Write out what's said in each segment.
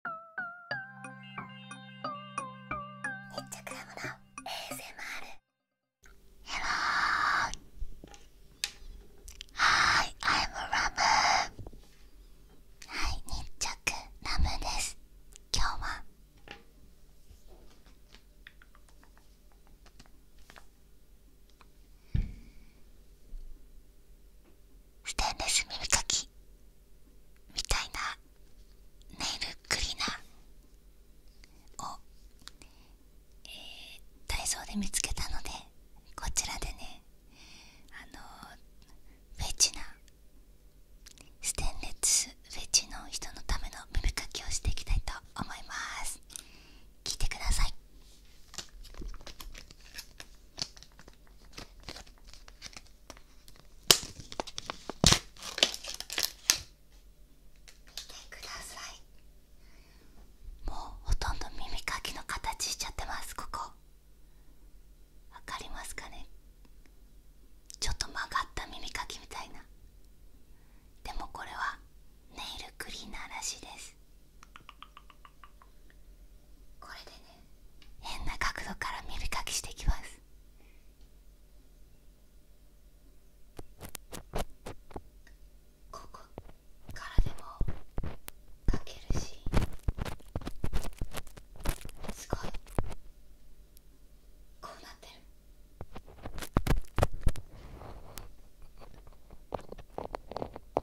イッチャクラムの ASMR ヘローはーい I'm ラムはい日着ラムです今日はステンレス耳かきみたいなネイルクリーナーを、えー、ダで見つけたのでこちらでねあのフェチなステンレスフェチの人のための耳かきをしていきたいと思います聞いてください見てくださいもうほとんど耳かきの形しちゃってますここ分かりますかねちょっと曲がった耳かきみたいなでもこれはネイルクリーナーらしいですこれでね変な角度から見るかきしていきますここからでもかけるしすごいこうなってる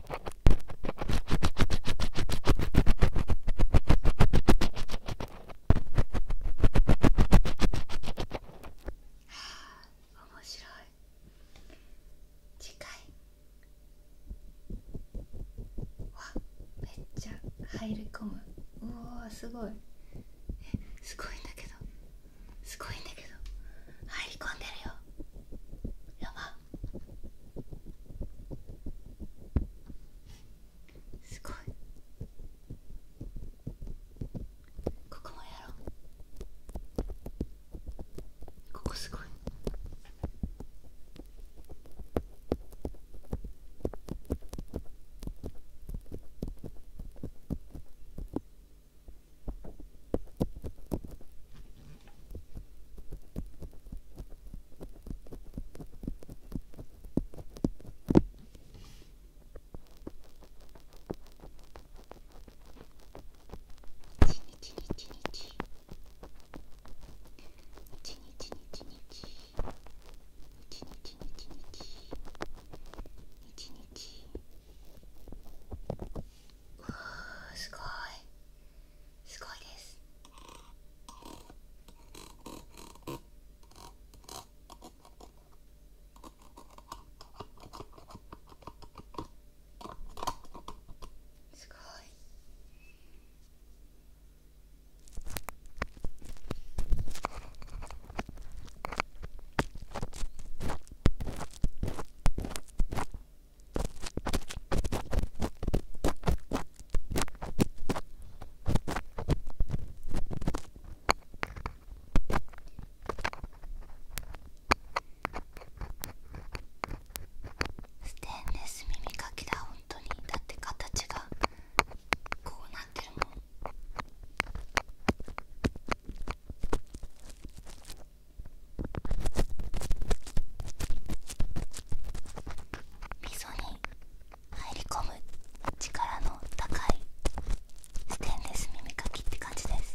はあ、面白い次回わめっちゃ入り込むうわ、すごいえすごいんだけどすごいんだけど入り込んでるよやばすごいここもやろうここすごいうわすごいすごいですすごいステンレス耳かきだ本当にだって形がこうなってるもん溝に入り込む力の高いステンレス耳かきって感じです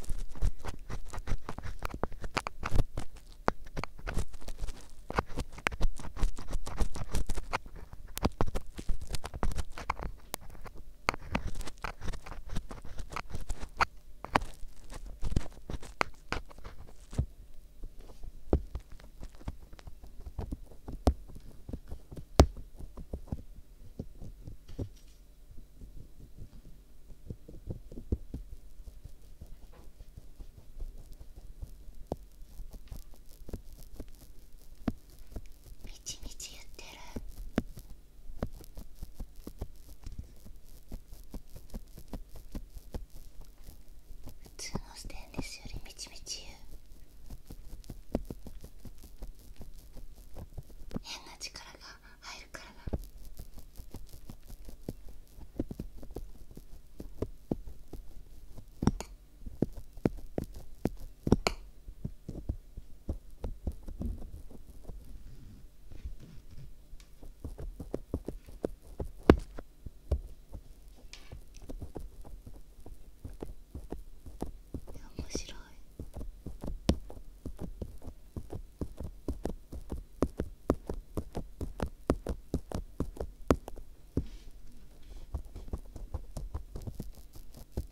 みちみち言ってる普通のステンレスよりみちみちゆ。う変な力が入るからだ面白い。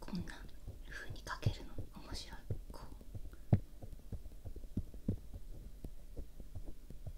こんな風にかけるの面白いこう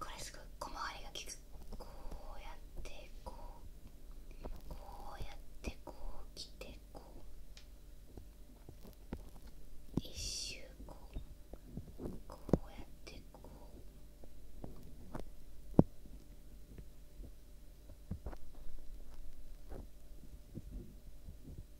これすごい小回りがきくこうやってこうこうやってこうきてこう一周こうこうやってこうこ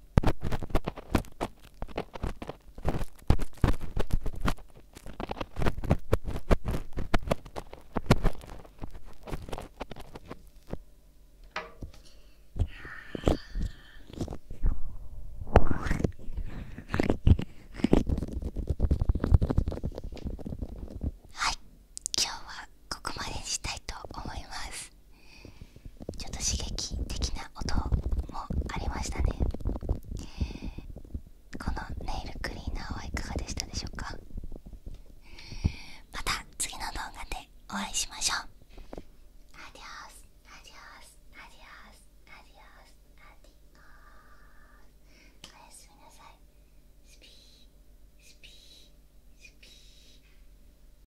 はい今日はここまでにしたいと思いますちょっと刺激的な音もありましたねこのネイルクリーナーはいかがでしたでしょうかまた次の動画でお会いしましょうアディオスアディオスアディオスアディオスアディオスおやすみなさいスピースピースピー